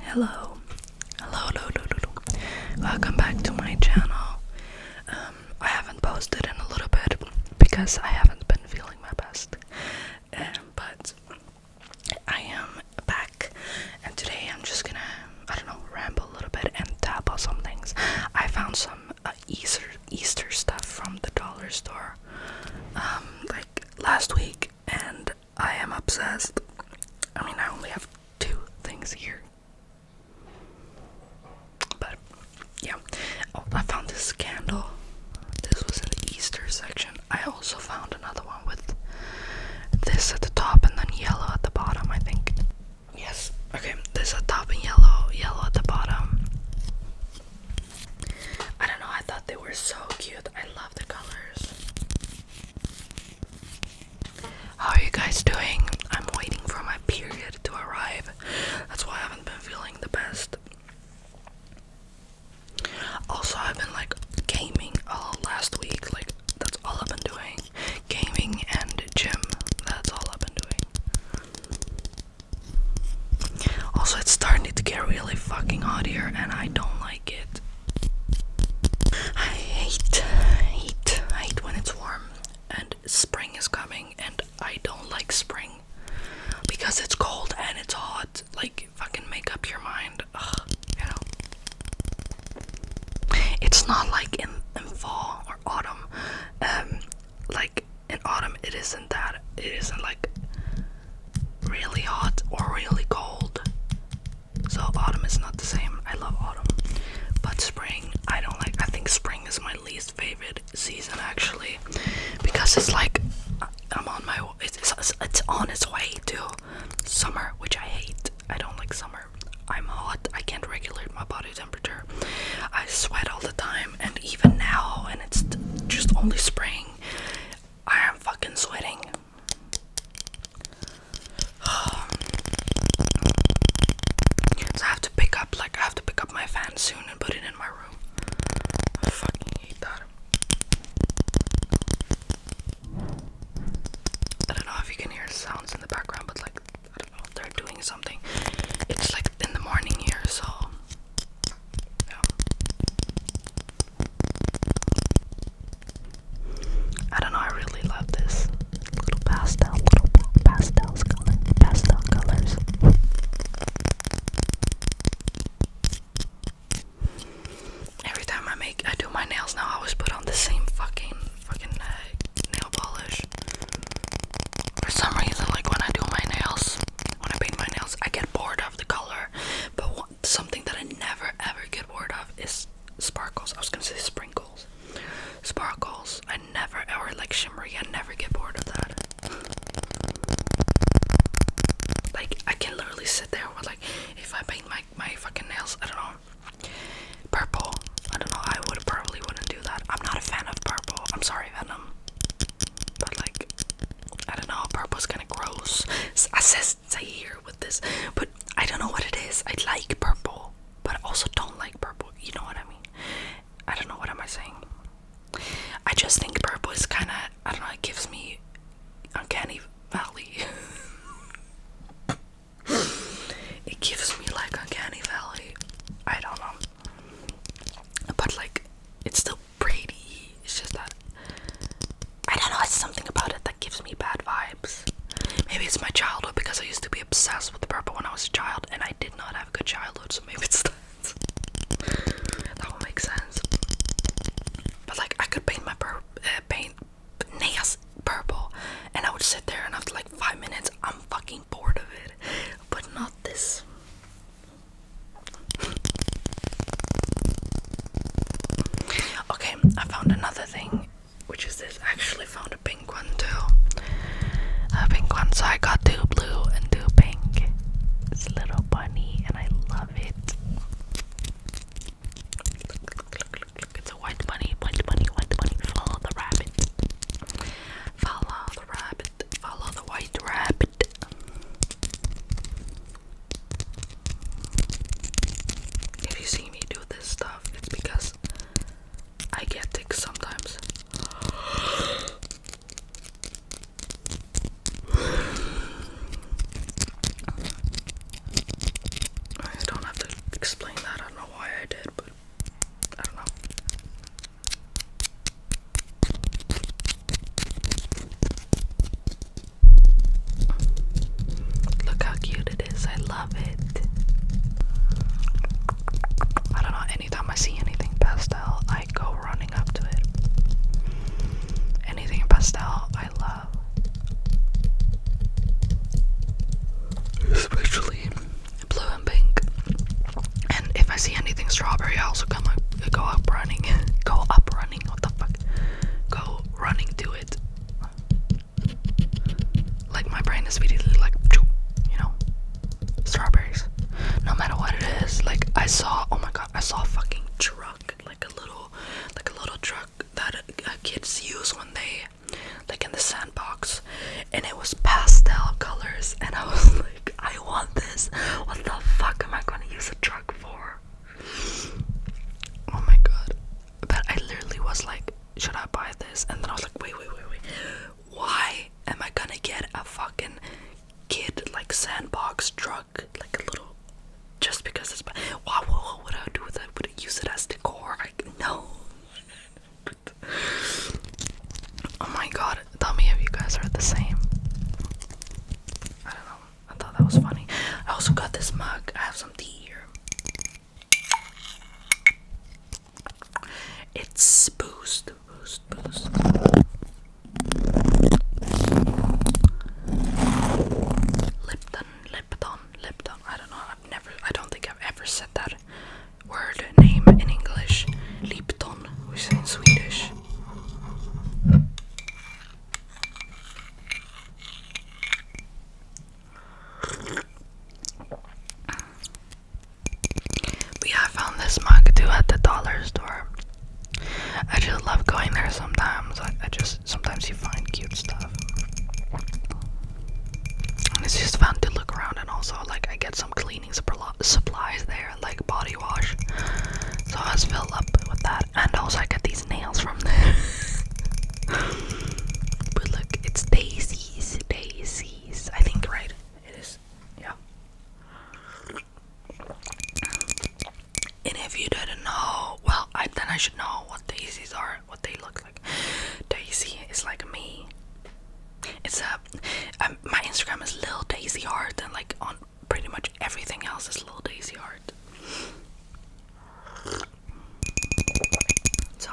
Hello. Hello, hello, hello, hello. Welcome back to my channel. Um, I haven't posted in a little bit because I haven't been feeling my best. Um, but I am back, and today I'm just gonna, I don't know, ramble a little bit and tap on some things. I found some uh, Easter, Easter stuff from the dollar store um, like last week, and I am obsessed. I mean, I only have two things here. But, yeah. Oh, I found this candle. This was in the Easter section. I also found another one with this at the top and then yellow at the bottom, I think. Yes. Okay, this at top and yellow, yellow at the bottom. I don't know, I thought they were so cute. I love the colors. How are you guys doing? I'm waiting for my period to arrive. That's why I haven't been feeling the best. Also, I've been like gaming all last week. Like, that's all I've been doing. Gaming and gym. That's all I've been doing. Also, it's starting to get really fucking hot here, and I don't like it. I hate, hate, hate when it's warm, and spring is coming, and I don't like spring because it's cold and it's hot. Like, fucking make up your mind. Ugh, you know, it's not like in, fall or autumn. Um, like in autumn it isn't that it isn't like really hot or really cold so autumn is not the same i love autumn but spring i don't like i think spring is my least favorite season actually because it's like i'm on my it's, it's, on its way to summer which i hate i don't like summer i'm hot i can't regulate my body temperature i sweat all the time and even now and it's just only spring I am fucking sweating. so I have to pick up like I have to pick up my fan soon and put it in my room. I fucking hate that. I don't know if you can hear sounds in the background, but like I don't know, they're doing something. It's like in the morning here, so I don't know, I really love this little pastel, little pastels color, pastel colors. Every time I make, I do my nails now. I always put on the same fucking, fucking uh, nail polish. For some reason, like when I do my nails, when I paint my nails, I get bored of the color. But one, something that I never ever get bored of is sparkles. I was gonna say sprinkles. Sparkles. I never ever like shimmery. I never get bored of that. Like I can literally sit there with like if I paint my my fucking nails, I don't know, purple. I don't know. I would probably wouldn't do. I'm not a fan of purple. I'm sorry, Venom. But like, I don't know. Purple's kind of gross. I say here with this, but I don't know what it is. I like purple, but also don't like purple. You know what I mean? I don't know what am I saying. I just think purple is kind of I don't know. It gives me uncanny valley. it gives me like uncanny valley. I don't know. But like, it's still pretty. It's just that I don't know. It's something about it that gives me bad vibes. Maybe it's my childhood because I used to be obsessed with purple when I was a child, and I did not have a good childhood. So maybe it's that. that would make sense. But like, I could paint my uh, paint nails purple, and I would sit there and after like five minutes, I'm fucking bored of it but not this. okay, I found another thing, which is this. actually found a pink one too. A pink one, so I got two blue and two pink. It's a little bunny, and I love it. It's a white bunny, white bunny, white bunny. Follow the rabbit. Follow the rabbit, follow the white rabbit. If you see me do this stuff, it's because I get sick sometimes. I don't have to explain that. I don't know why I did, but I Look how cute it is. I love it. I don't know. Anytime I see anything pastel, I go running up to it. Anything pastel, I love. Especially blue and pink. And if I see anything strawberry, I also come up, go up running, go up running. What the fuck? Go running to it. Like my brain is immediately like, you know, strawberries. No matter what it is, like I saw. Oh my god, I saw a fucking truck, like a little, like a little truck that kids use when they like in the sandbox and it was pastel colors and I was like I want this what the fuck am I gonna use a truck for oh my god but I literally was like should I buy this and then I was like wait wait wait wait why am I gonna get a fucking kid like sandbox truck like a little just because it's why what, what would I do with it? Would I use it as decor? Like no oh my god, tell me if you guys are the same. I don't know. I thought that was funny. I also got this mug. I have some tea here. It's boost, boost, boost. Lipton, Lipton, Lipton. I don't know i never, I don't think I've ever said that word name in English. Lipton, which is in Swedish. We yeah, I found this mug too at the dollar store. I just love going there sometimes. I just sometimes you find cute stuff. And it's just fun to look around, and also, like, I get some cleaning supplies there, like body wash. So I just fill up with that, and also, I get these nails from there. but look, it's daisies, daisies, I think, right? It is, yeah. And if you didn't know, well, I, then I should know what daisies are are, what they look like. Daisy is like me. It's a um, my Instagram is little Daisy Heart, and like on pretty much everything else is little Daisy Heart. So.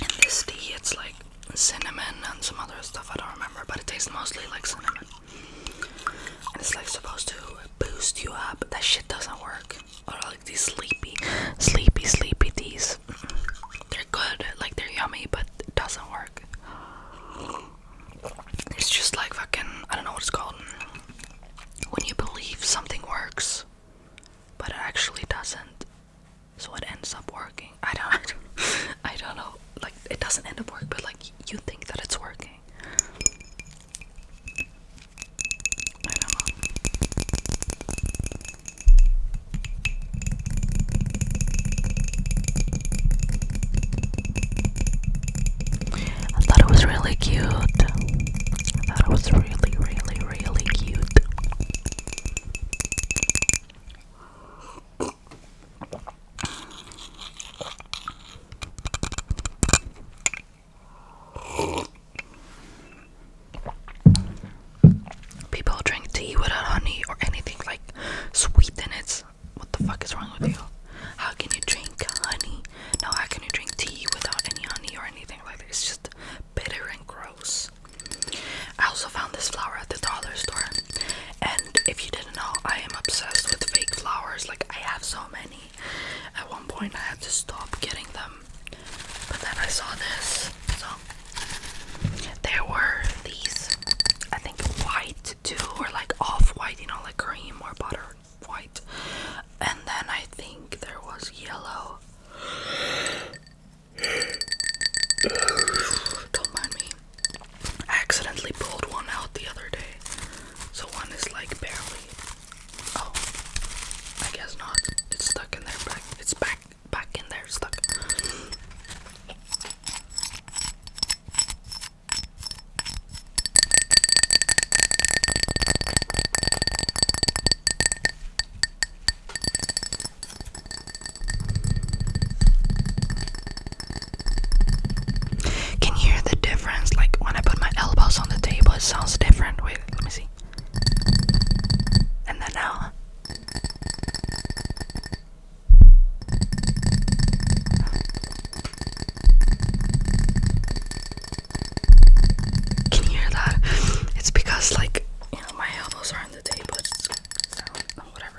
And this tea, it's like cinnamon and some other stuff, I don't remember, but it tastes mostly like cinnamon. And it's like supposed to boost you up, but that shit doesn't work. Or like these sleepy, sleepy, sleepy teas. They're good, like they're yummy, but it doesn't work. It's just like fucking, I don't know what it's called. When you believe something works, but it actually doesn't. So it ends up working. I don't, I don't know. Like, it doesn't end up working, but like, you think that it's working. I don't know. I thought it was really cute. I thought it was really, really, really cute. People drink tea without honey or anything like sweet in it what the fuck is wrong with you? How can you drink honey? No, how can you drink tea without any honey or anything like that? It's just bitter and gross. I also found this flower at the dollar store, and if you didn't know, I am obsessed with fake flowers. Like I have so many. At one point, I had to stop getting them, but then I saw this, there were these, I think white too, or like off white, you know, like cream or butter white. And then I think there was yellow. Don't mind me. accidentally pulled one out the other day. So one is like barely. Oh, I guess not. It's stuck in there back. It's back back in there stuck. Can you hear the difference? Like when I put my elbows on the table, it sounds different. Wait, let me see. And then now. Can you hear that? It's because, like, you know, my elbows are on the table. so, whatever.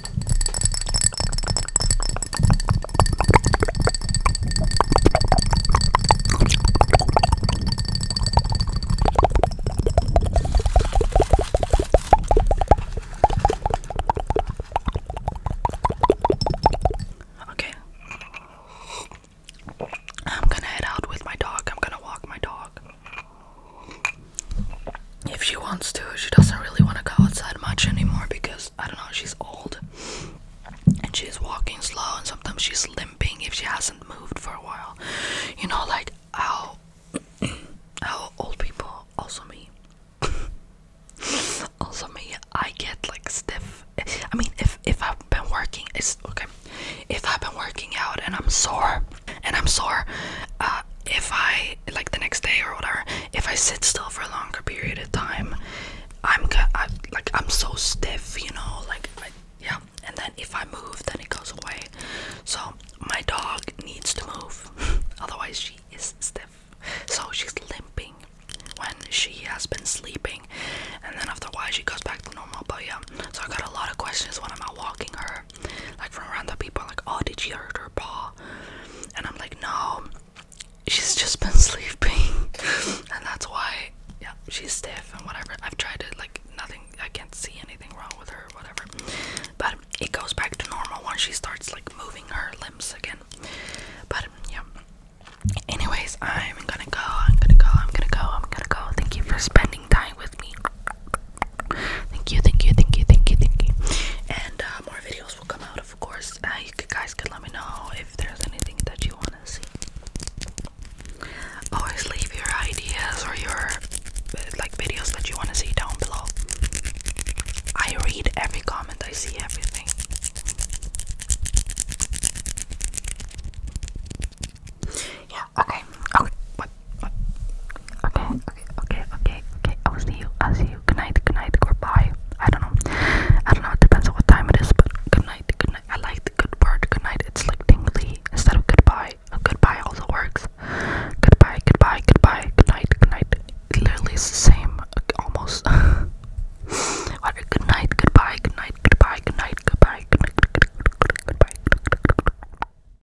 Okay. I'm gonna head out with my dog. I'm gonna walk my dog. If she wants to, she doesn't really want to go outside much anymore because I don't know, she's old and she's walking slow, and sometimes she's limping if she hasn't moved for a while. You know, like how how old people, also me, also me, I get like stiff. I mean, if if I've been working, it's okay. If I've been working out and I'm sore, and I'm sore, uh, if I like the next day or whatever, if I sit still for a longer period of time, I'm I, like I'm so stiff, you know, like yeah. And then if I move, then it goes away. So my dog needs to move, otherwise she is stiff. So she's limping when she has been sleeping, and then after while she goes back to normal. But yeah, so I got a lot of questions when I'm out walking her like from around the people, like, oh, did she hurt her paw? And I'm like, no, she's just been sleeping, and that's why, yeah, she's stiff and whatever. I've tried to like, nothing, I can't see anything wrong with her, whatever. But it goes back to normal once she starts, like, moving her limbs again. But yeah. Anyways, I'm gonna go. I'm gonna go. I'm gonna go. I'm gonna go. Thank you for spending time with me. Thank you, thank you, thank you, thank you, thank you. And uh, more videos will come out, of course. Uh, you guys can let me know if there's anything that you want to see. Always leave your ideas or your like videos that you want to see down below. I read every comment, I see everything. Yeah, okay, okay, what? Okay, okay, okay, okay, okay. I'll see you. I'll see you. Good night, good night, goodbye. I don't know. I don't know. It depends on what time it is, but good night, good night. I like the good word, good night. It's like tingly instead of goodbye. A goodbye also works. Goodbye, goodbye, goodbye, good night, good night. It literally is the same, almost. what a good night, goodbye, good night, goodbye, good night, goodbye, good night, good night, good night, good night, good night, good night, good night, good night, good night, good night.